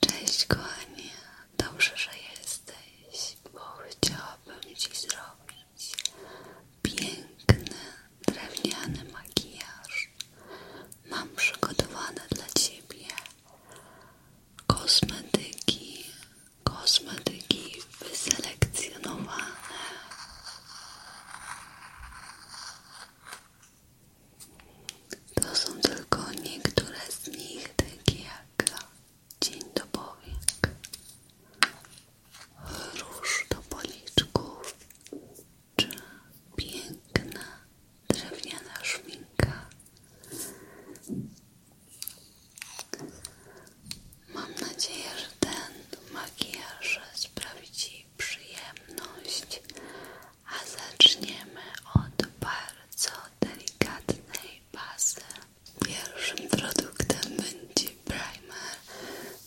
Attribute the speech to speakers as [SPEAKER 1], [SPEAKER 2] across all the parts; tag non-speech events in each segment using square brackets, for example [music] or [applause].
[SPEAKER 1] Cześć kochanie, dobrze, że jesteś, bo chciałabym Ci zrobić piękny, drewniany makijaż. Mam przygotowane dla Ciebie kosmetyki, kosmetyki wyselekcjonowane. To są tylko niektóre z nich, takie jak dzień dobry, powiek, do policzków, czy piękna drewniana szminka. Mam nadzieję, że ten makijaż sprawi Ci przyjemność a zaczniemy od bardzo delikatnej bazy. Pierwszym produktem będzie primer.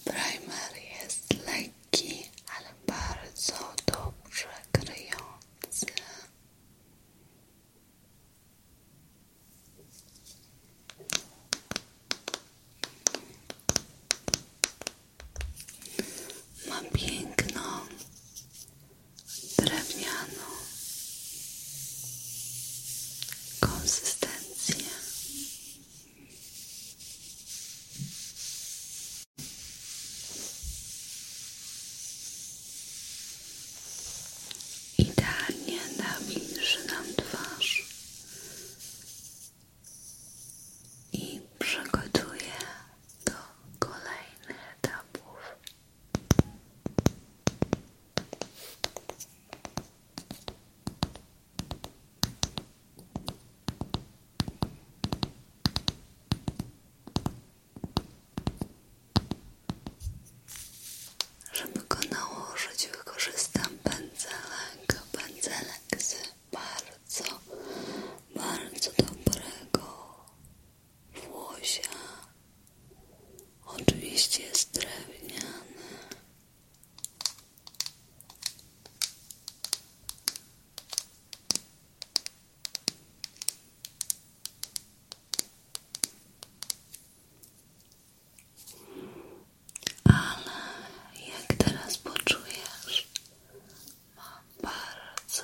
[SPEAKER 1] Primer jest lekki, ale bardzo dobrze kryjący. Ma piękno drewnianą konsystencję. Idealnie nawilży nam twarz i przygotuje do kolejnych etapów. Żeby go nałożyć, wykorzystam pędzelek, pędzelek z bardzo, bardzo dobrego Włosia oczywiście jest drewniany. Ale jak teraz poczujesz, mam bardzo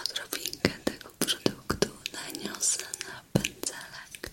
[SPEAKER 1] Odrobinkę tego produktu naniosę na pędzelek.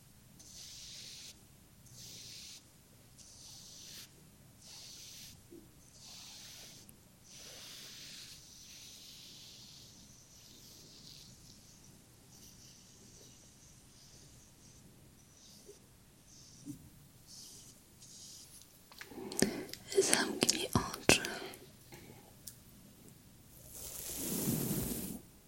[SPEAKER 1] Zamknij oczy.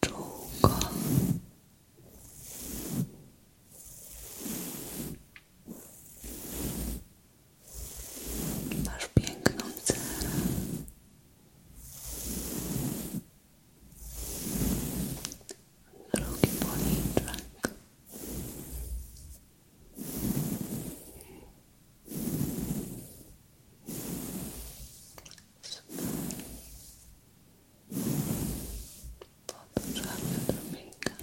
[SPEAKER 1] Czułko. Masz piękną cerę. Drugi policzek to drobinkę.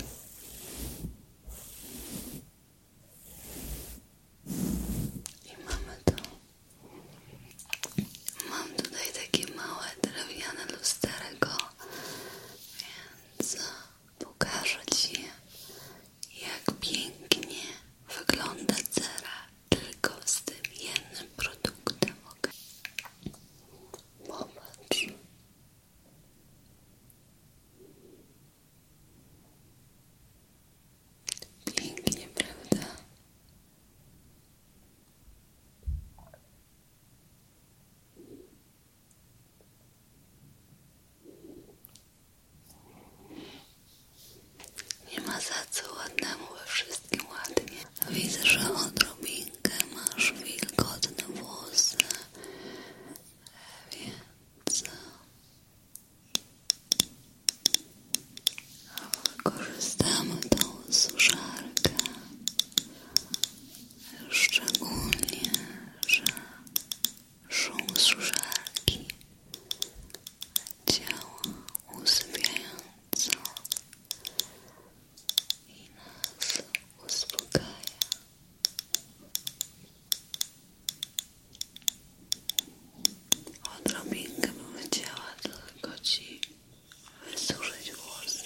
[SPEAKER 1] I mamy to. Mam tutaj takie małe drewniane lusterko, więc pokażę Ci, jak pięknie wygląda cerak tylko z tym jednym produktem, ok? Popatrz. Pięknie, prawda? Nie ma za co ładnemu we wszystkim ładnie. Widzę, że odrobinkę masz wilgotne włosy, więc e, wykorzystamy tą suszarkę. Szczególnie, że szum suszarki ciała usypiająco i nas uspokaja. Odrobinkę bym chciała tylko wysuszyć włosy.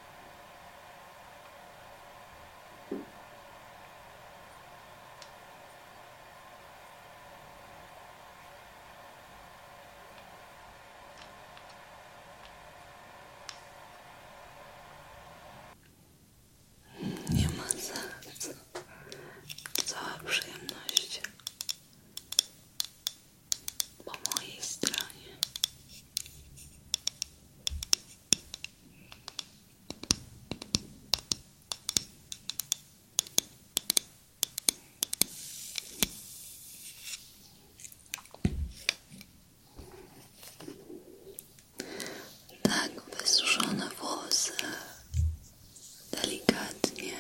[SPEAKER 1] Nie ma za co. Cała przyjemność po mojej stronie. Tak wysuszone włosy delikatnie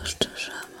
[SPEAKER 1] rozszerzamy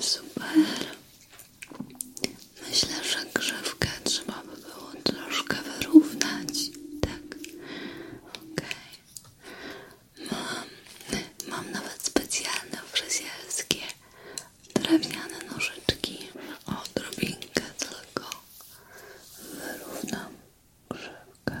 [SPEAKER 1] Super. Myślę, że grzewkę trzeba by było troszkę wyrównać. Tak. Okej. Mam, mam nawet specjalne fryzjerskie drewniane nożyczki odrobinkę tylko wyrównam krzywkę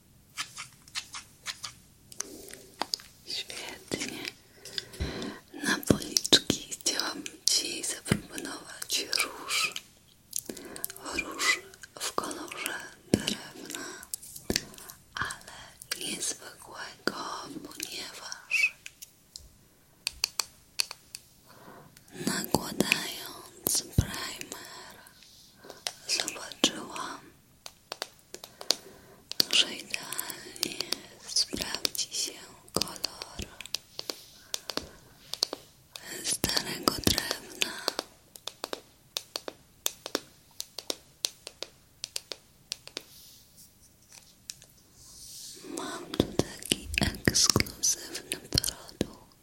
[SPEAKER 1] Świetnie. Na policzki chciałam Ci zaproponować róż. Róż w kolorze drewna, ale niezwykłego, ponieważ nakładając primer zobaczyłam, że idealnie sprawdzi się kolor starego drewna. Mam tu taki ekskluzywny produkt.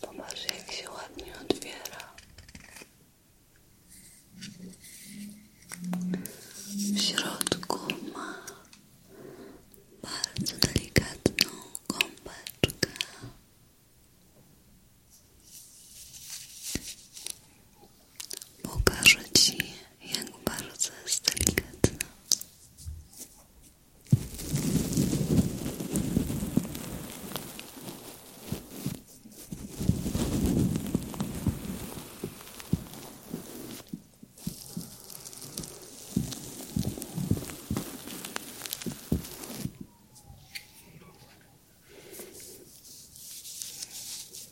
[SPEAKER 1] Popatrz, jak się ładnie otwiera. W środku ma bardzo delikatną gąbeczkę. Pokażę Ci, jak bardzo jest delikatna.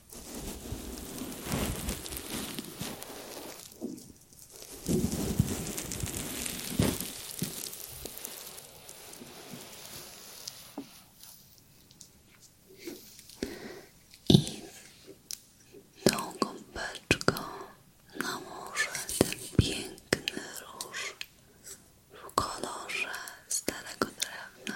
[SPEAKER 1] I tą gąbeczką nałożę ten piękny róż w kolorze starego drewna.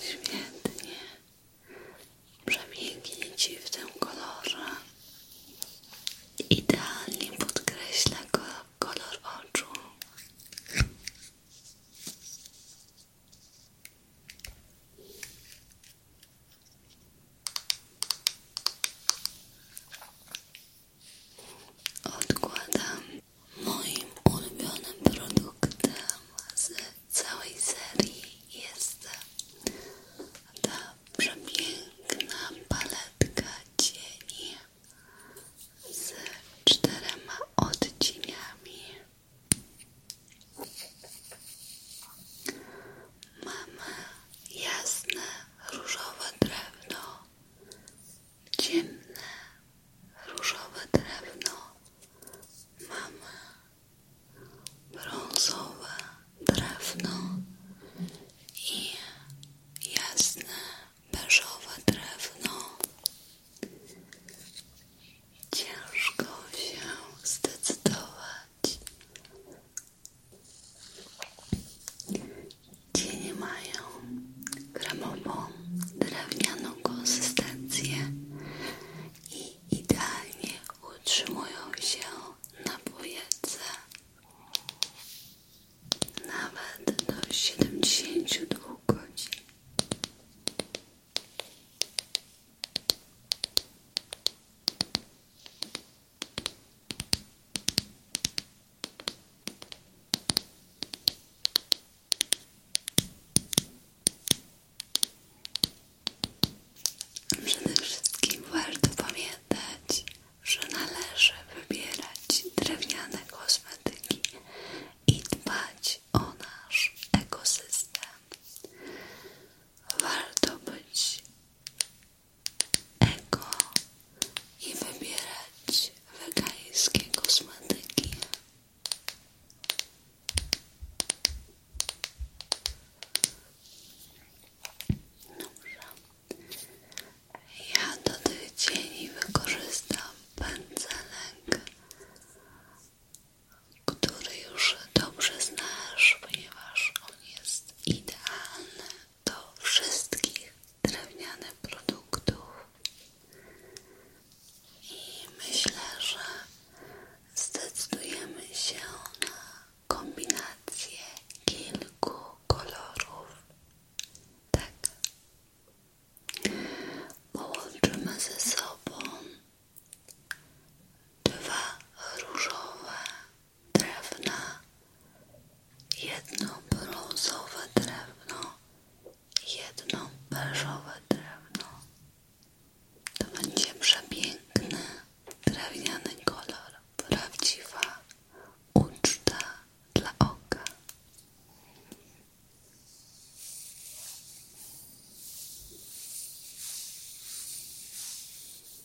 [SPEAKER 1] Świetnie. Przepięknie Ci w tym kolorze. Idealnie podkreśla kolor oczu. Odkładam moim ulubionym produktem z całej serii jest ta przepiękna paletka cieni z czterema odcieniami. Mamy jasne, różowe drewno, ciemne, różowe drewno. Mamy brązowe drewno i jasne, beżowe drewno. Ciężko się zdecydować, Cienie mają kremową, drewnianą konsystencję i idealnie utrzymują się na powietrze nawet do 72 godzin. Przede wszystkim warto pamiętać, że należy wybierać drewniane kosmetyki i dbać o nasz ekosystem. Warto być Ego i wybierać wegańskie kosmetyki. Dobrze. Ja do tych cieni wykorzystam pędzelek który już dobrze znasz, ponieważ on jest idealny do wszystkich drewnianych produktów i myślę, że zdecydujemy się na kombinację kilku kolorów. Tak. Połączymy ze sobą dwa różowe drewna, jedno brązowe drewno, jedno beżowe drewno. To będzie przepiękny, drewniany kolor, prawdziwa uczta dla oka.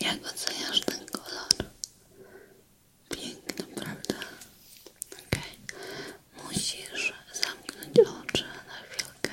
[SPEAKER 1] Jak oceniasz ten kolor? Piękna, prawda? Okej. Musisz zamknąć oczy na chwilkę.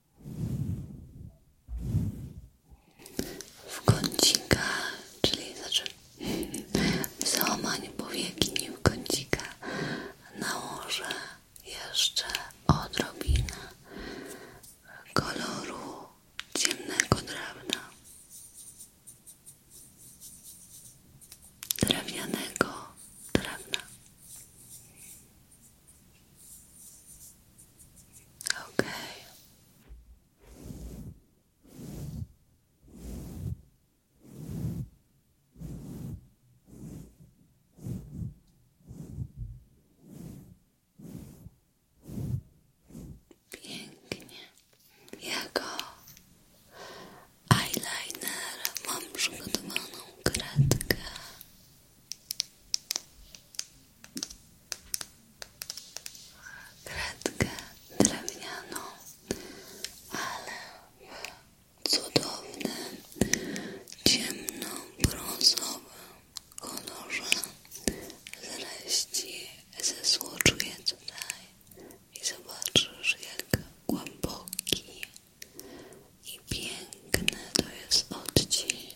[SPEAKER 1] w kącika, czyli znaczy w [laughs] załamaniu powieki w kącika nałożę jeszcze odrobinę koloru ciemnego drewna drewnianego drewna Pięknie. Jako eyeliner mam przygotowaną kredkę kredkę drewnianą, ale w cudownym, ciemno-brązowym kolorze z ze zesłoczuję tutaj i zobaczysz jak głęboki i piękny to jest odcień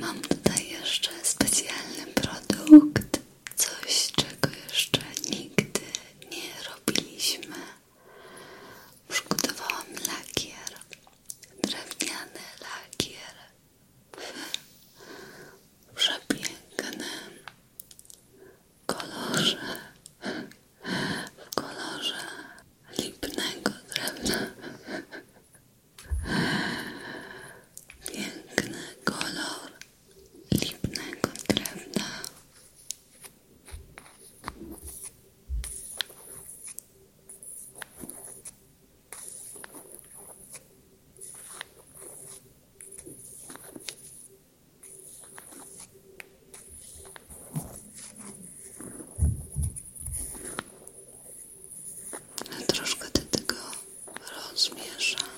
[SPEAKER 1] Mam tutaj jeszcze specjalny produkt, coś czego jeszcze nigdy nie robiliśmy. Przygotowałam lakier, drewniany lakier w przepięknym kolorze, w kolorze lipnego drewna. Piękny kolor lipnego drewna troszkę do tego rozmieszam,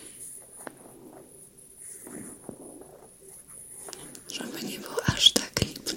[SPEAKER 1] żeby nie był aż tak lipny.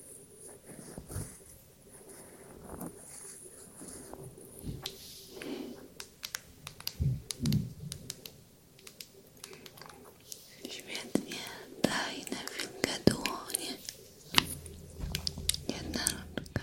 [SPEAKER 1] Świetnie, daj na chwilkę dłonie. Jedna rączka.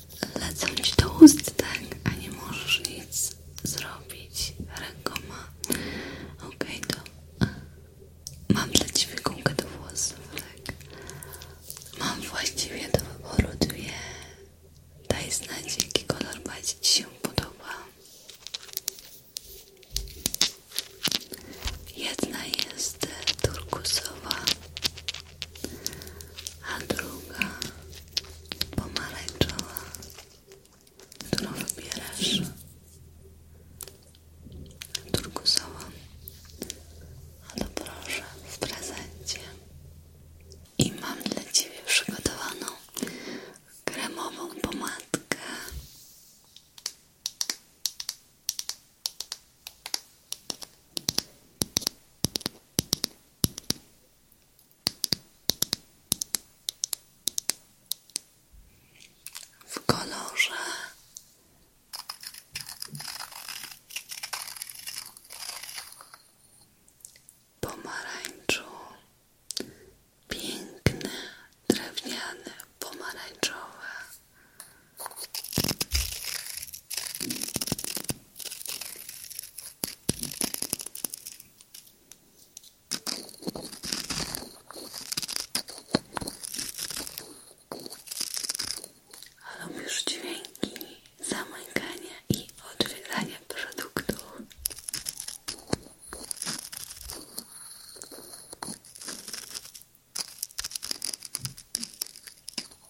[SPEAKER 1] lecą ci do ust, tak? A nie możesz nic zrobić rękoma. Ok, okay, to e, mam dla ciebie gumkę do włosów, tak? Mam właściwie do wyboru dwie. Daj znać, jaki kolor bardziej ci się podoba. Jedna jest turkusowa, a druga pomarańczowa, którą no, wybierasz, turkusową, a proszę w prezencie. I mam dla Ciebie przygotowaną kremową pomadkę w kolorze pomarańczu piękny, drewniany, pomarańczowy a lubisz dźwięki zamykania i otwierania produktów?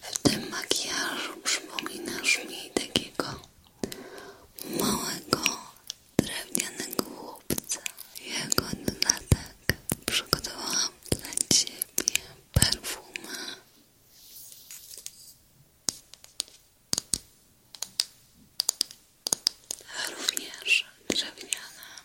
[SPEAKER 1] W tym makijażu przypominasz mi takiego małego, drewnianego chłopca. Jego dodatek przygotowałam dla ciebie perfumę. Również drewniana.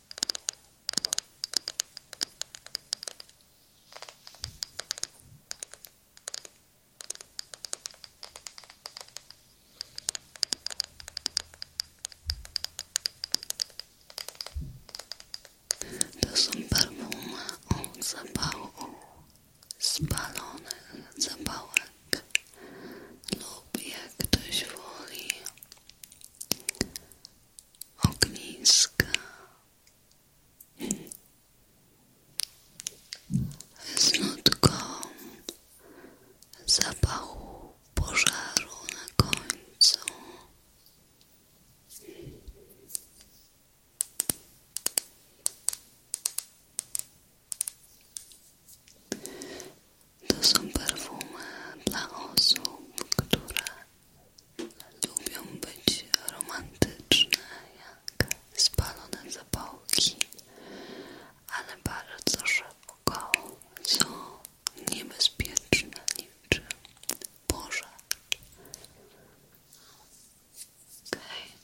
[SPEAKER 1] To są perfumy od zapału spalonych zapałek lub jak ktoś woli ogniska z zapachu pożaru na końcu. To są perfumy dla osób, które Lubią być romantyczne jak spalone zapałki, ale bardzo szybko co niebezpieczne niczym pożar. Okej. Okay.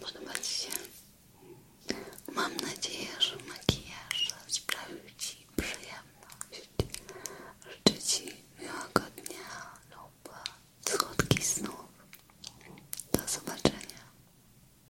[SPEAKER 1] Podoba Ci się? Mam nadzieję, że makijaż sprawił Ci przyjemność. Życzę Ci miłego dnia lub słodkich snów. Do zobaczenia.